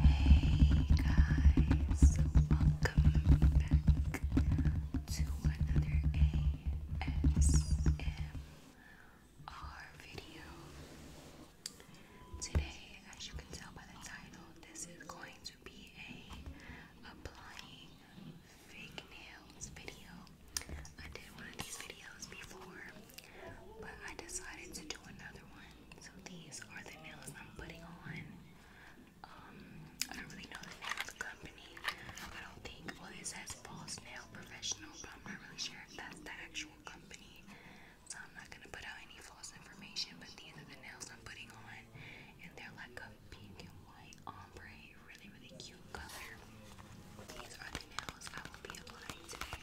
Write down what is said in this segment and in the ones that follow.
Hey guys, welcome back to another ASMR video. Today, as you can tell by the title, this is going to be a applying fake nails video. I did one of these videos before, but I decided to do another one so these are the nails I'm putting on. Um, I don't really know the name of the company. I don't think. Well, it says False Nail Professional, but I'm not really sure if that's the actual company. So I'm not gonna put out any false information. But these are the nails I'm putting on, and they're like a pink and white ombre, really, really cute color. These are the nails I will be applying today.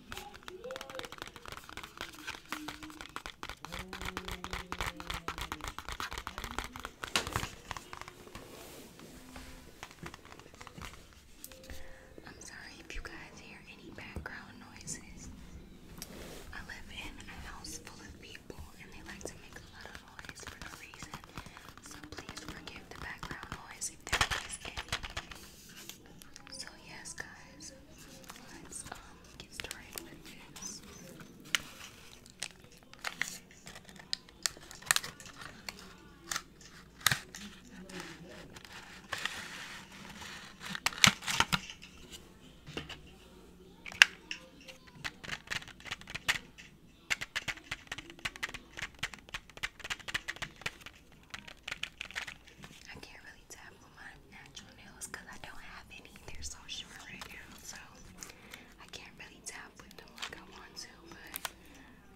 I'm sorry if you guys hear any background noises. I live in a house full of people and they like to make a lot of noise for no reason. So please forgive the background noise if there is any. So yes guys, let's um get started with this. I can't really tap on my natural nails I don't have any. They're right now, so I can't really tap with them like I want to, but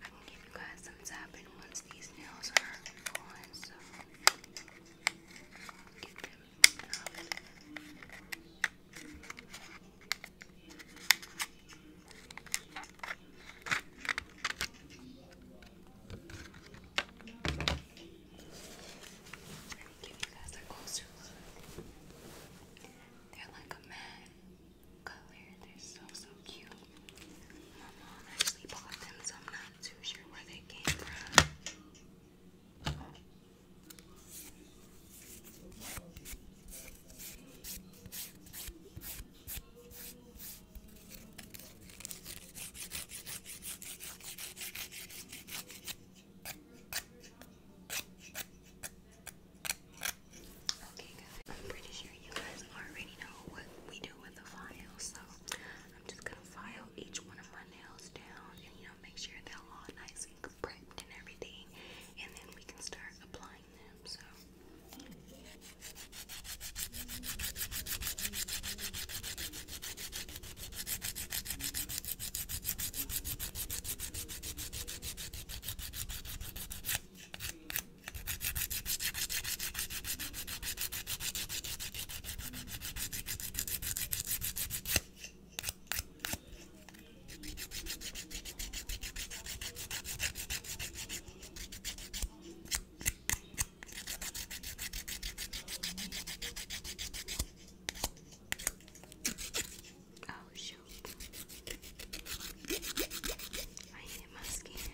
I can give you guys some tapping once these nails are on, so get them out. Let you guys a closer They're like a matte color. They're so so cute. My mom actually bought them, so I'm not too sure where they came from. Okay guys, I'm pretty sure you guys already know what we do with the file, so I'm just gonna file each one of my nails down and you know make sure they're all nice and prepped and everything and then we can start applying selling them, so Oh shoot. I need my skin.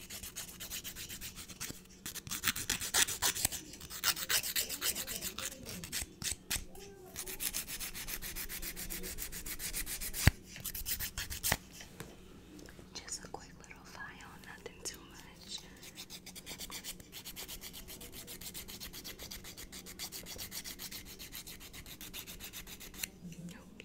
Just a quick little file, nothing too much. Nope.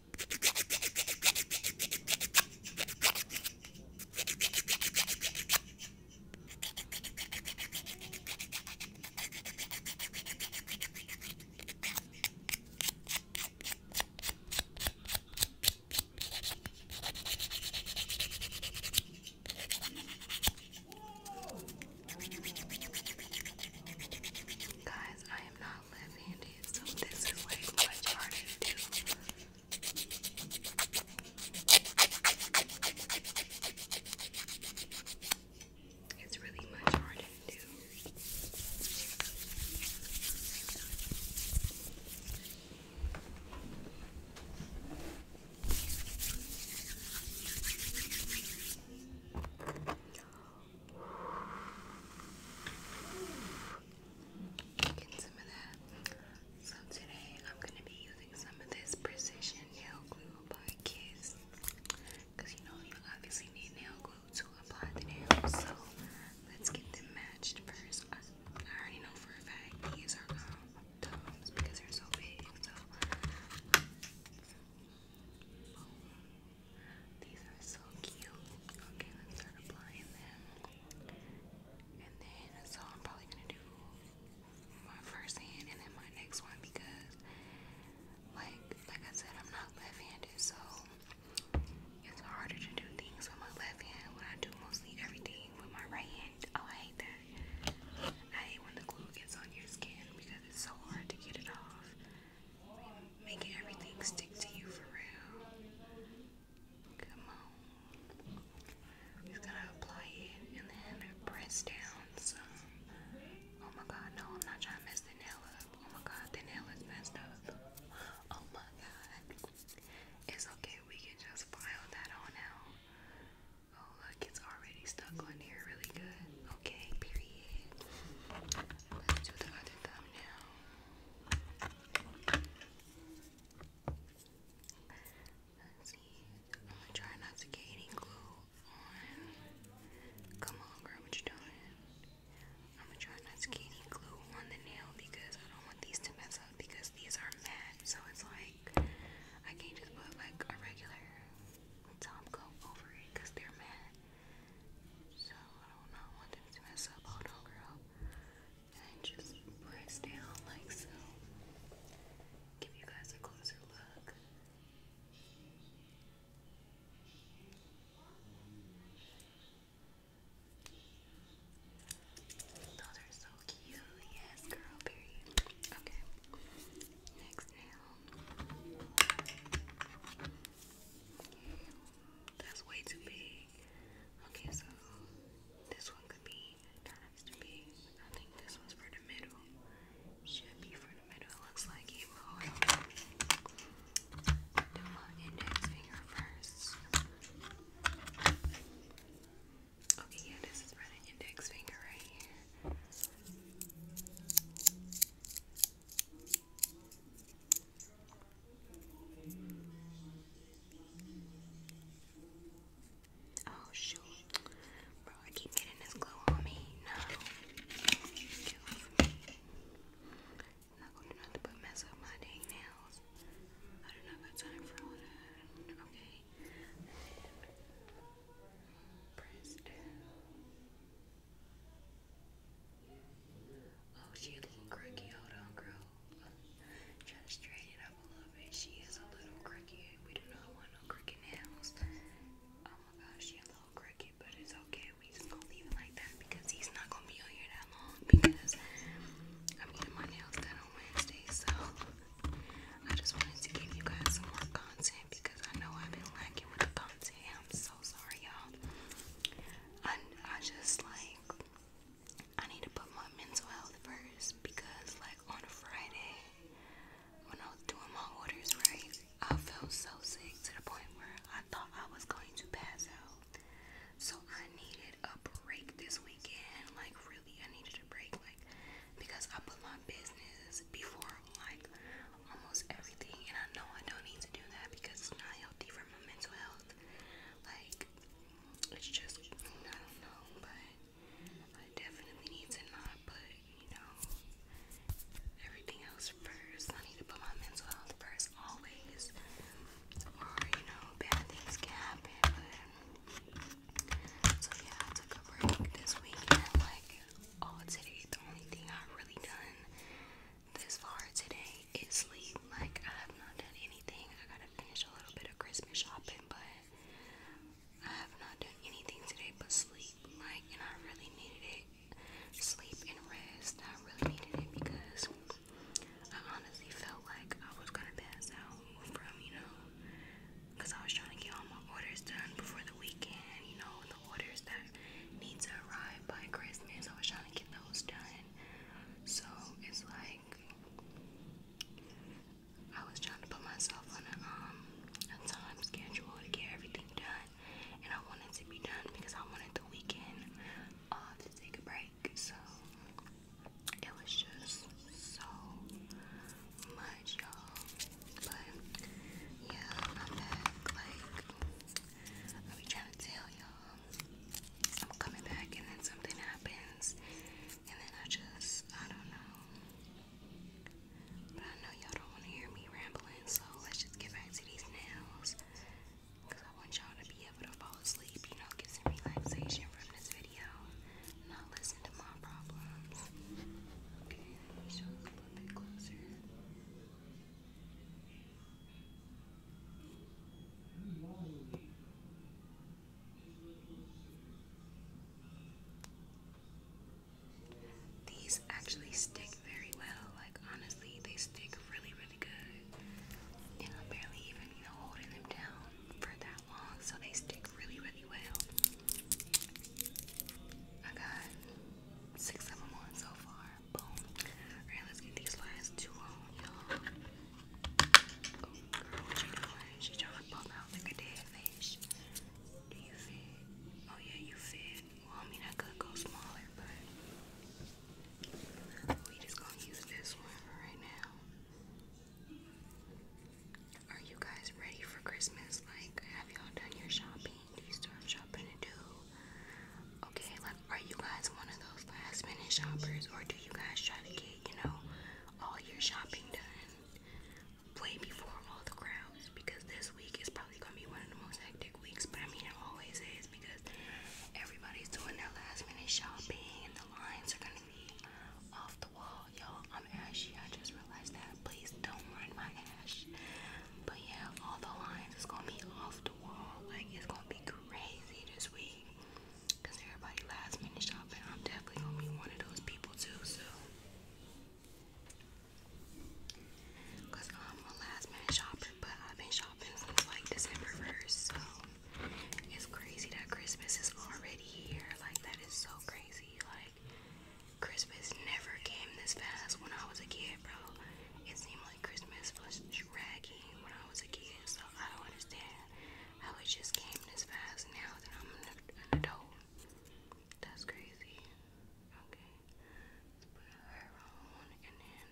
Guys, I am not left handed, so this is like much harder to do. It's really much harder to do. So today I'm gonna be using some of this precision nail glue by Kiss. you know you obviously need nail glue to apply the nails. So let's get them matched first. I, already know for a fact these are um, thumbs because they're so big. So These are so cute. Okay, let's start applying them. And then, so I'm probably gonna do my first hand and then my next one because, like, like I said, I'm not left-handed, so it's harder to do things with my left hand when I do mostly everything with my right hand. Oh, I hate that. I hate when the glue gets on your skin because it's so hard to get it off. Making everything stick to you for real. Come on. He's gonna apply it and then press down some. Oh my god, no, I'm not trying to mess the nail up. Oh my god, the nail is messed up. Oh my god. It's okay, we can just file that on out. Oh look, it's already stuck on here really good. Okay, period. do the other thumb I'm gonna try not to get any glue on. Come on, girl, what you doing? I'm gonna try not to get any glue on the nail because I don't want these to mess up because these are matte. So it's like I can't just put like a regular top coat over it because they're matte. So I don't want them to mess up. Hold on, girl. And just press down like so. Give you guys a closer look. Those are so cute. Yes, girl, Okay. Next nail. That's way too big. Okay, so this one could be that has to be. I think this one's for the middle. Should be for the middle. looks like it. Hold on. index finger first. Okay, yeah, this is for the index finger right here. Oh shoot. Bro, I keep getting this glue on me. No. I'm not gonna nothing but mess up my dang nails. I don't have got time for all Okay. And Oh, she's a little cranky. Hold on, girl. Try to straighten up a little bit. She is a little cranky. We do not want no crooked nails. Oh my gosh, she's a little crooked, but it's okay. We just gonna leave it like that because he's not gonna be here that long because I'm getting my nails done on Wednesday. So I just wanted to give you guys some more content because I know I've been lacking with the content. I'm so sorry, y'all. I I just like I need to put my mental health first because, like, on a Friday, when I was doing my orders, right, I felt so sick to the point where I thought I was going to pass out. So I needed a break this weekend. Like, really, I needed a break. Like, because I put my business before, like, almost everything. And I know I don't need to do that because it's not healthy for my mental health. Like, it's just I don't know, but I definitely need to not put you know everything else first. I need to put my mental health first always, or you know bad things can happen. so yeah, I took a break this weekend. Like all today, the only thing I really done this far today is sleep. Like, I have not done anything. I gotta finish a little bit of Christmas shopping, but I have not done anything today but sleep. Like, and I really needed it. Sleep and rest. I really needed it because I honestly felt like I was gonna pass out from, you know, because I was trying to get all my orders done before the weekend, you know, the orders that need to arrive by Christmas. I was trying to get those done. So it's like I was trying to put myself on a um a time schedule to get everything done, and I wanted to be done because I wanted the weekend uh, to take a break. So it was just so much, y'all. But yeah, I'm back. Like I be trying to tell y'all. I'm coming back and then something happens and then I just I don't know. But I know y'all don't want to hear me rambling, so let's just get back to these nails. Cause I want y'all to be able to fall asleep, you know, get some relaxation from this video. Not listen to my problems. Okay, let me show you a little bit closer. These actually stick very well. Like honestly, they stick really, really good. And I'm barely even, you know, holding them down for that long, so they stick really, really well. I got six of them on so far. Boom. Alright, let's get these last two on, y'all. Oh, trying to pop out like a dead fish. Do you fit? Oh, yeah, you fit. Well, I mean, I could go smaller, but we just gonna use this one right now. Are you guys ready for Christmas? Like, have y'all done your shopping? Do you still have shopping to do? Okay, like, are you guys one of those last minute shoppers, or do you guys try to get, you know, all your shopping done way before all the crowds? Because this week is probably gonna be one of the most hectic weeks, but I mean, it always is because everybody's doing their last minute shopping and the lines are gonna be off the wall. Yo, I'm ashy, I just realized that. Please don't mind my ash. But yeah, all the lines is gonna be off the like, it's gonna be crazy this week. Cause everybody last minute shopping. I'm definitely gonna be one of those people too, so. Cause I'm um, a last minute shopper, but I've been shopping since like December 1st, so. It's crazy that Christmas is already here. Like, that is so crazy. Like, Christmas never came this fast when I was a kid, bro. It seemed like Christmas was ragging when I was a kid, so I don't understand how it just came this fast now that I'm an, adult. That's crazy. Okay, put her on and then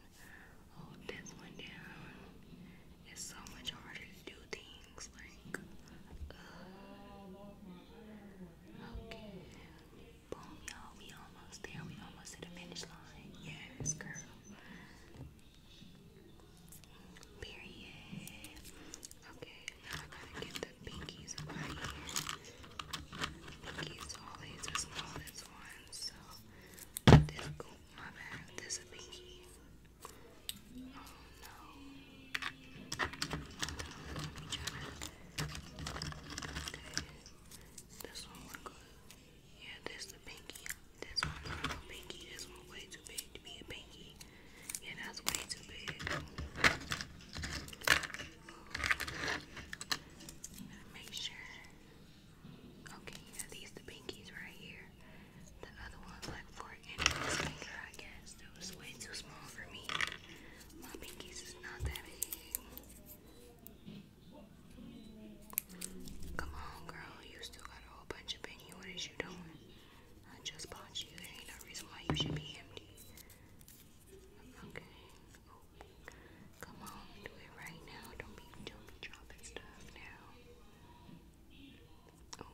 hold this one down. It's so much harder to do things like. Uh, okay. Boom, y'all. We almost there. We almost to the finish line. Yes, girl. Period. Okay, now I gotta get the pinkies Pinkies always the smallest one, so this oh, my bad. This a pinky. Oh no. Okay. This one went yeah, that's the pinky. This one's little pinky. This one's way too big to be a pinky. Yeah, that's way too big. make sure. Okay, these the pinkies right here. The other one's like for anyone's finger, I guess. That was way too small for me. My pinkies is not that big. Come on, girl. You still got a whole bunch of penny. What is you doing? I just bought you. There ain't no reason why you should be empty. Okay. Come on, do it right now. Don't be, don't be dropping stuff now. Oh.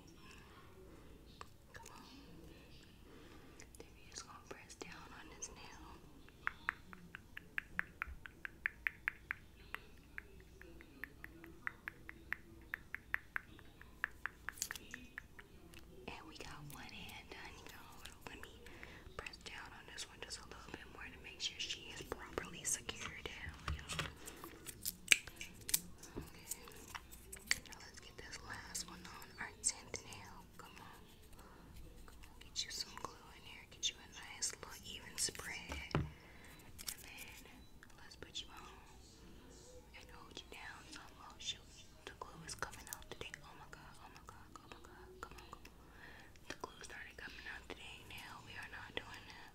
Come on. Debbie is gonna press down on this nail. And we got one hand done, y'all. Let me press down on this one just a little bit more to make sure she is properly secured Now let's get this last one on our tenth nail. Come on. Come on, get you some glue in get you a nice little even spread, and then let's put you on and hold you down. Oh shoot, the glue is coming out today. Oh my god, oh my god, oh my god, come on. The glue started coming out today. Now we are not doing that.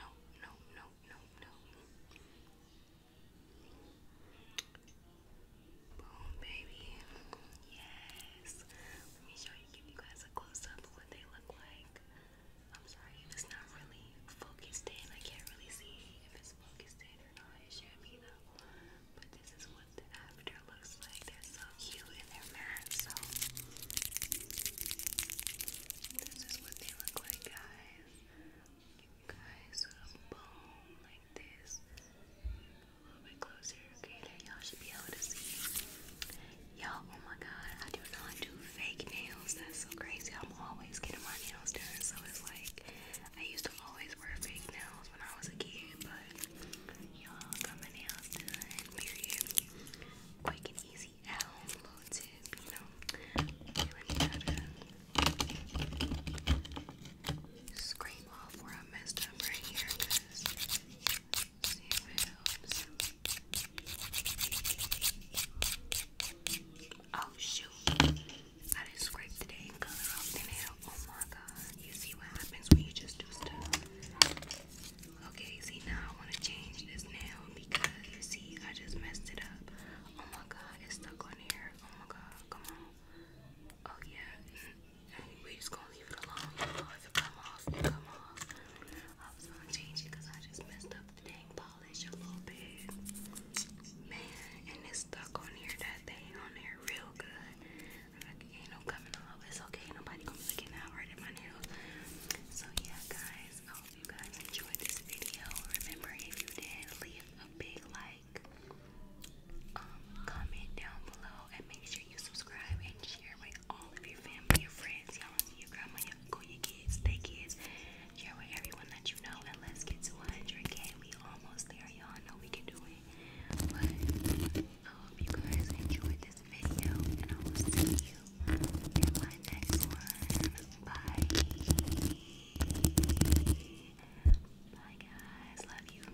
No, no, no, no, no. Boom, baby. Yes. Let me show you give you guys a close of what they look like. I'm sorry it's not really focused in. I can't really see if it's focused in or not. It should be though. But this is what the after looks like. They're so cute and they're So this is what they look like, guys. Give you guys a bone like this. A little bit closer y'all oh my god, I do not do fake nails. That's so crazy. I'm always getting my nails done. So it's like I used to always wear fake nails when I was a kid, but y'all got my nails done. Period. Quick and easy at home little tip, you know. Feeling better. Scrape off where I messed up right here Oh shoot. I didn't the dang color off the nail. Oh my god. You see what happens when you just do stuff. Okay, see now I wanna change this nail because you see I just messed it up. Oh my god, it's stuck on here. Oh my god, come on. Oh yeah. Mm, we just gonna leave it alone, y'all. come off, come off. I was gonna change it because I just messed up the dang polish a little bit. Man, and it's stuck on here. That thing on there real good. Like, ain't no coming off. It's okay. Nobody gonna look it out my nails. So yeah, guys. I hope you guys enjoyed this video. Remember, if you did, leave a big like, um, comment down below and make sure you subscribe and share with all of your family, your friends, your auntie, your grandma, your uncle, their kids. Share with everyone that you know, and let's get to 100k. We almost there, y'all know we can do it. I hope you guys enjoyed this video, and I will see you in my next one. Bye. Bye, guys. Love you.